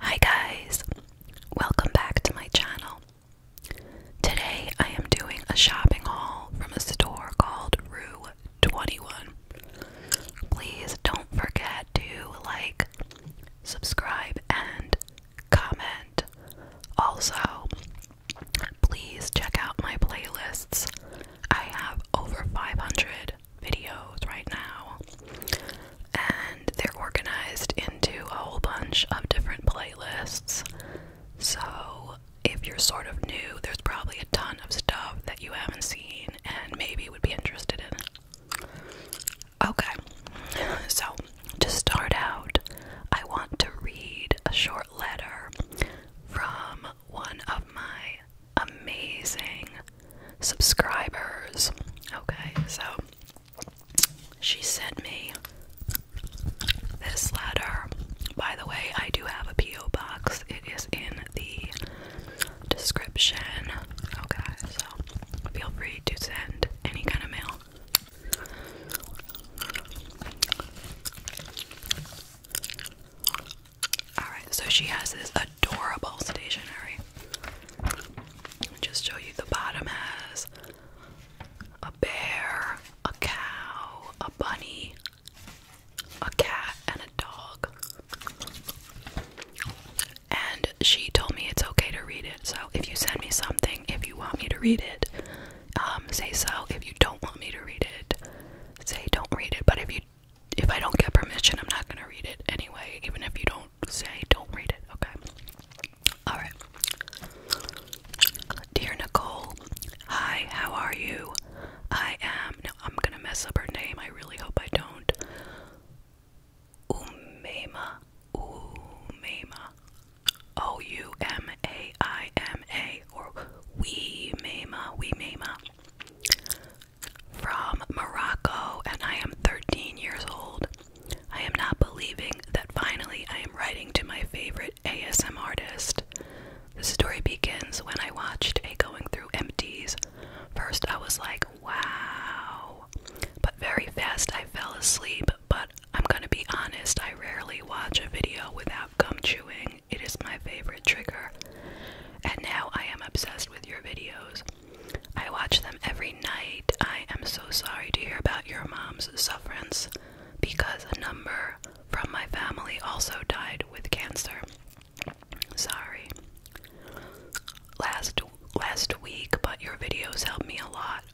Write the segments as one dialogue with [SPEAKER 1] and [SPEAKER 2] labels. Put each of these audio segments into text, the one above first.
[SPEAKER 1] Hi guys! Welcome back to my channel. Today I am doing a shopping haul from a store called Rue 21. Please don't forget to like, subscribe, and comment. Also, please check out my playlists. I have over 500 videos right now, and they're organized into a whole bunch of different playlists. So, if you're sort of new, there's probably a ton of stuff that you haven't seen and maybe would be interested in. Okay, so to start out, I want to read a short letter from one of my amazing subscribers. Okay, so she sent me this letter. By the way, I do have a P.O. box, it is in the description. Okay, so feel free to send any kind of mail. Alright, so she has this adorable stationery. Just show you the bottom has a bear, a cow, a bunny, a cat, and a dog. And she told me it's okay to read it. So if you send me something, if you want me to read it, um, say so. If you don't want me to read it, say don't read it. But if you if I don't get permission, I'm not gonna read it anyway, even if you don't say don't read it, okay? Alright. Dear Nicole, hi, how are you? I am. I'm gonna mess up her name. I really hope I don't. Umema. Umema. O U M A I M A or We Mema from Morocco, and I am 13 years old. I am not believing that finally I am writing to my favorite ASM artist. The story begins when I watched a Going Through Empties. First, I was like, wow. But very fast, I fell asleep. But I'm gonna be honest, I rarely watch a video without gum chewing. It is my favorite trigger. And now I am obsessed with your videos. I watch them every night. I am so sorry to hear about your mom's sufferance because a number from my family also died with cancer. Sorry. Last last week, but your videos helped me a lot.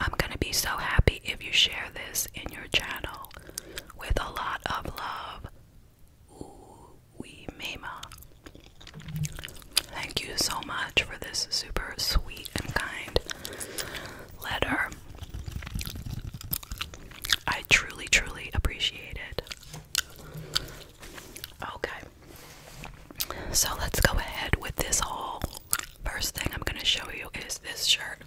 [SPEAKER 1] I'm going to be so happy if you share this in your channel with a lot of love. Uwimema. Thank you so much for this super sweet and kind letter. I truly, truly appreciate it. Okay, so let's go ahead with this haul. First thing I'm going to show you is this shirt.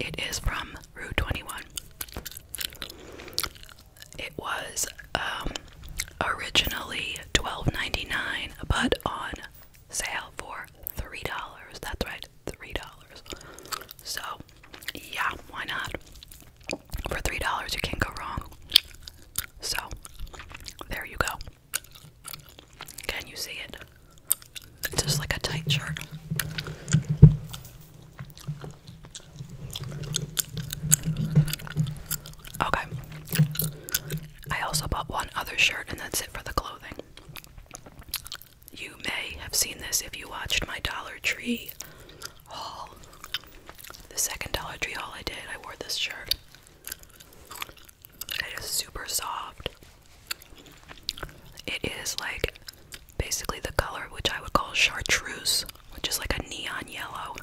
[SPEAKER 1] It is from Rue 21. It was um, originally $12.99, but on sale for $3. That's right, $3. So, yeah, why not? For $3, you can't go wrong. So, there you go. Can you see it? It's just like a tight shirt. Okay. I also bought one other shirt, and that's it for the clothing. You may have seen this if you watched my Dollar Tree haul. The second Dollar Tree haul I did, I wore this shirt. It is super soft. It is like basically the color which I would call chartreuse, which is like a neon yellow,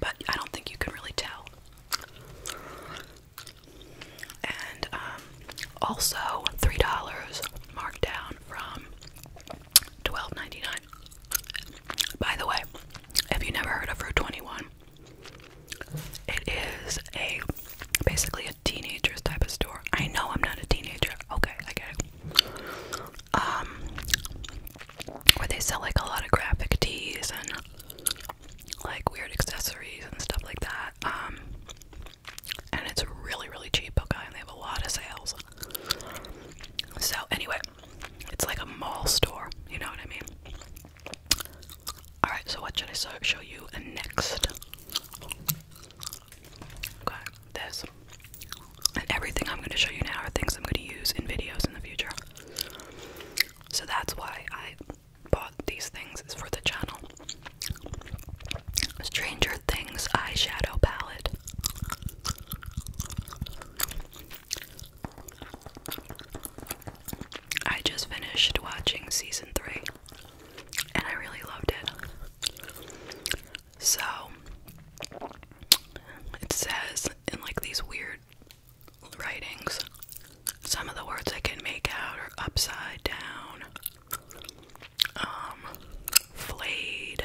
[SPEAKER 1] but I don't think you can really tell. And um, also $3 markdown from $12.99. By the way, if you never heard of Route 21, it is a basically teenager's type of store. I know I'm not a teenager. Okay, I get it. Um, where they sell like a lot of graphic tees and like weird accessories and stuff like that. Um, and it's really, really cheap, okay? And they have a lot of sales. So, anyway, it's like a mall store, you know what I mean? Alright, so what should I so show you next? Okay, this. And everything I'm going to show you now are things I'm going to use in videos in the future. So that's why I bought these things, is for the channel. Stranger Things eyeshadow palette. I just finished watching season three and I really loved it. So it says in like these weird writings, some of the words I can make out are upside down, um, flayed.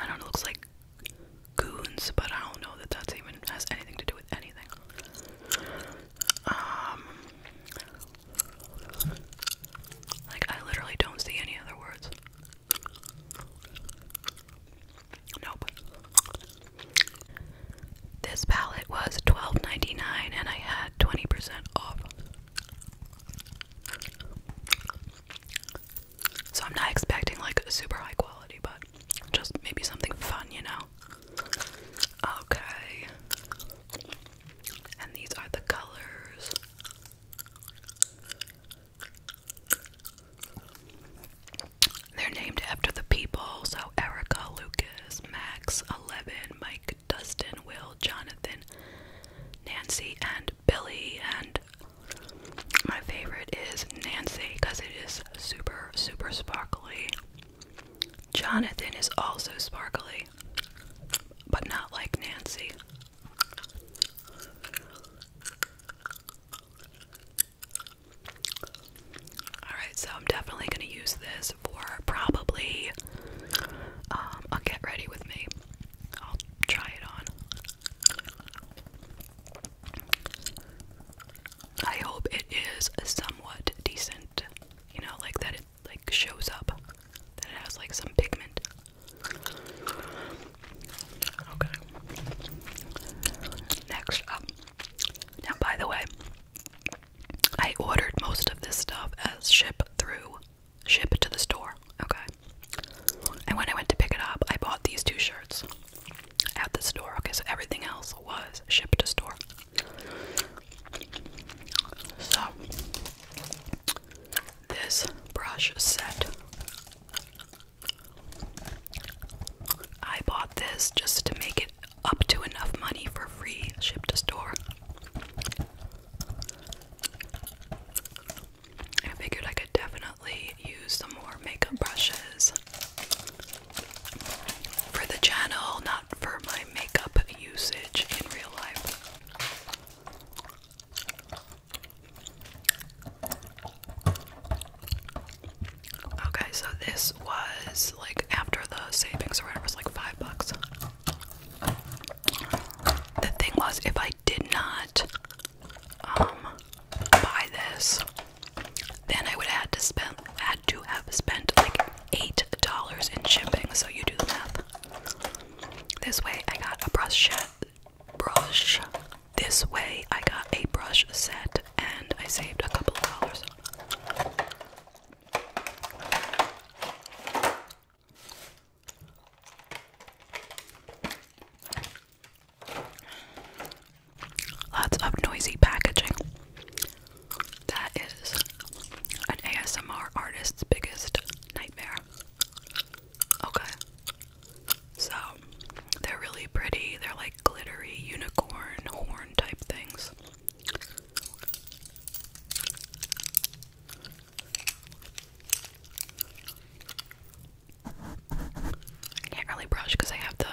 [SPEAKER 1] I don't know, it looks like goons, but I don't know that that's even has anything to do with anything. Um, like I literally don't see any other words. Nope. This palette was
[SPEAKER 2] twelve ninety nine, and I had twenty percent
[SPEAKER 1] off. So I'm not expecting like super high quality, but just maybe something fun, you know? Okay. And these are the colors. They're named after the people, so Erica, Lucas, Max, Eleven, Mike, Dustin, Will, Jonathan, Nancy, and Billy. And my favorite is Nancy because it is super, super sparkly. Jonathan is also sparkly, but not like Nancy. Alright, so I'm definitely going to use this for probably um, a get ready with me. I'll try it on. I hope it is somewhat decent. You know, like that it like shows up. That it has like some pigment. Okay. Next up. Now by the way, I ordered most of this stuff as ship through ship to the store. Okay. And when I went to pick it up, I bought these two shirts at the store. Okay, so everything else was shipped to store. So this brush set. I bought this just to make it up to enough money for free ship to store. I figured I could definitely use some more makeup brushes for the channel, not for my makeup usage in real life. Okay, so this was like after the savings or whatever, it was like five bucks. The thing was, if I did not um buy this, then I would have had to spend had to have spent like eight dollars in shipping. So you do the math. This way I got a brush set brush. This way I got a brush set and I saved a couple of dollars. Lots of noisy packaging. That is an ASMR artist's biggest nightmare. Okay. So, they're really pretty. They're like glittery unicorn horn type things. I can't really brush because I have the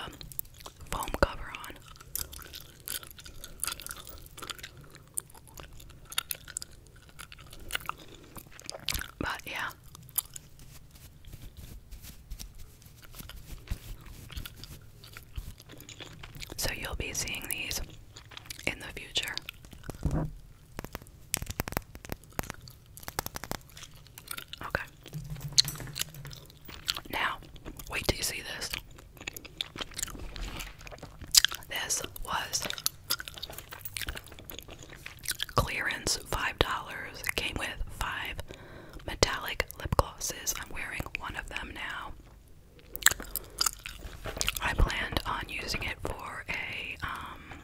[SPEAKER 1] foam cover on. But yeah. So you'll be seeing these in the future. Okay. Now, wait till you see this. This was clearance $5. Came with five metallic lip glosses. I'm wearing one of them now. I planned on using it for a um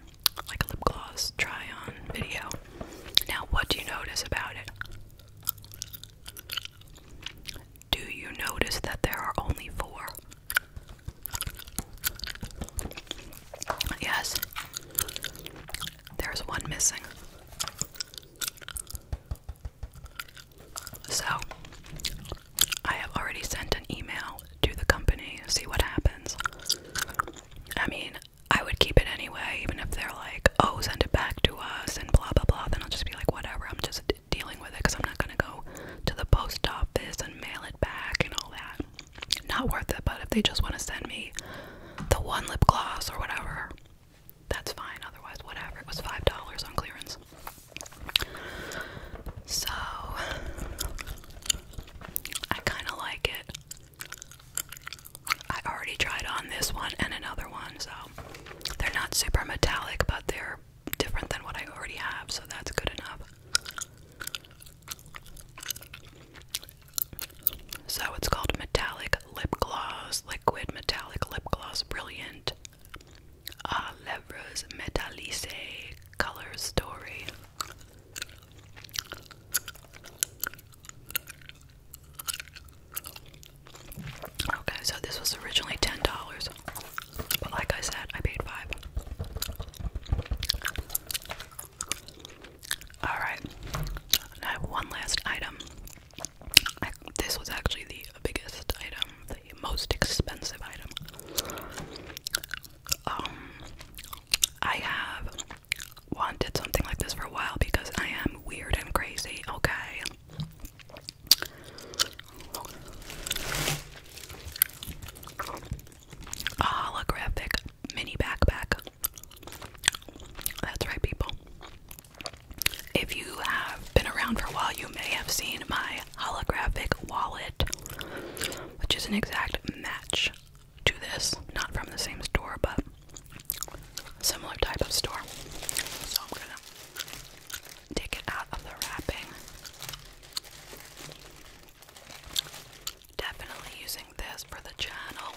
[SPEAKER 1] like a lip gloss try on video. Now, what do you notice about it? Do you notice that there are only four? Yes, there's one missing. So, I have already sent an email to the company, see what happens. I mean, I would keep it anyway, even if they're like, oh, send it back to us and blah blah blah. Then I'll just be like, whatever, I'm just dealing with it because I'm not gonna go to the post office and mail it back and all that. Not worth it, but if they just want to send me the one lip gloss or whatever, that's fine. Otherwise, whatever. It was $5 on clearance. So, I kind of like it. I already tried on this one and another one, so they're not super metallic, but they're different than what I already have, so that's good enough. So it's called Metallic Lip Gloss, Liquid Metallic Lip Gloss Brilliant. Uh, Levres color story. Okay, so this was originally ten dollars, but like I said, I paid five. All right, I have one last item. this was actually the biggest item, the most expensive item um, I have wanted something like this for a while because I am weird and crazy, okay? A holographic mini backpack. That's right, people. If you have been around for a while, you may have seen my holographic wallet, which is an exact match to this. Not from the same store, but similar type of store. So I'm gonna take it out of the wrapping. Definitely using this for the channel.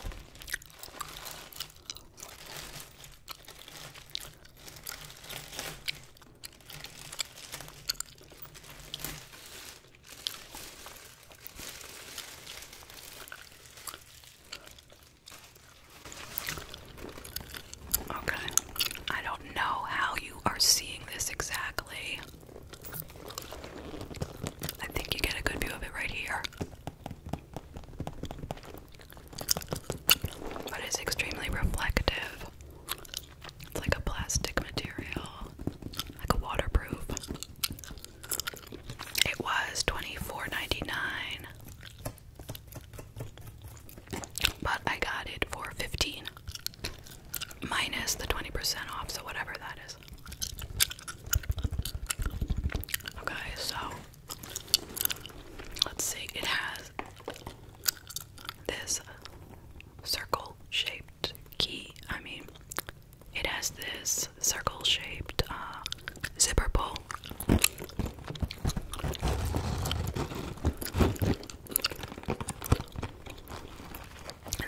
[SPEAKER 1] Okay, I don't know how you are seeing this exactly. I think you get a good view of it right here. But it's extremely reflective. It's like a plastic material, like a waterproof. It was $24.99, but I got it for 15 minus the 20% off, so whatever that is. Okay, so let's see, it has this circle shaped key. I mean, it has this circle shaped uh, zipper pull. And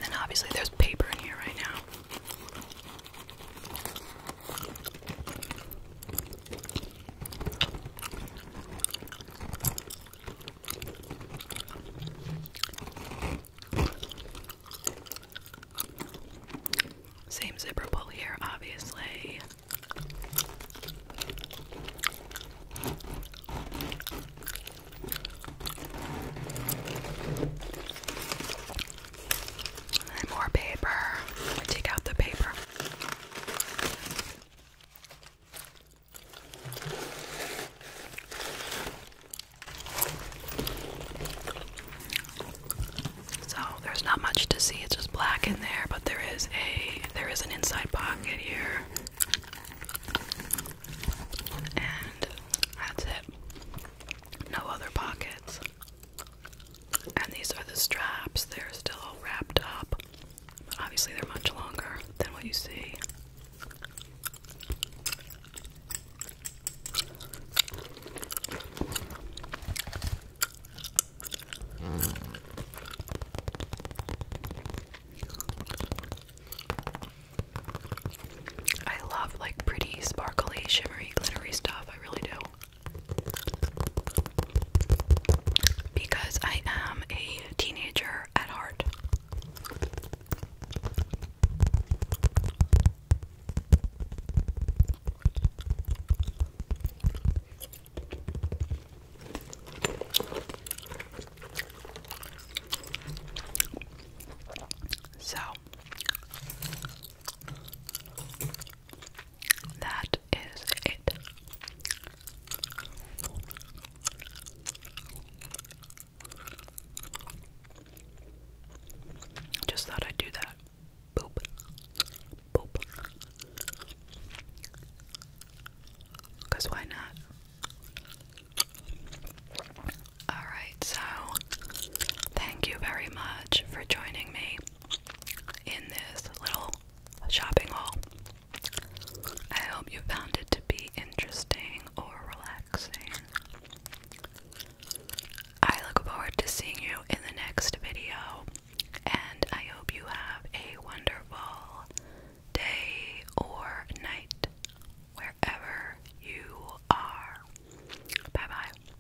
[SPEAKER 1] then obviously there's paper in here right now. Same zipper pull here, obviously. more paper. take out the paper. So there's not much to see. It's just black in there, but there is a there is an inside pocket here. And that's it. No other pockets. And these are the straps. They're still all wrapped up. But obviously, they're much longer than what you see. I love like pretty, sparkly, shimmery, glittery stuff. I really do because I am a teenager at heart. So that is it. Just thought I'd do that. Boop. Boop. Because why not? Alright, so thank you very much for joining me in this little shopping hall. I hope you found it to be interesting or relaxing. I look forward to seeing you in the next video, and I hope you have a wonderful day or night wherever you are. Bye bye.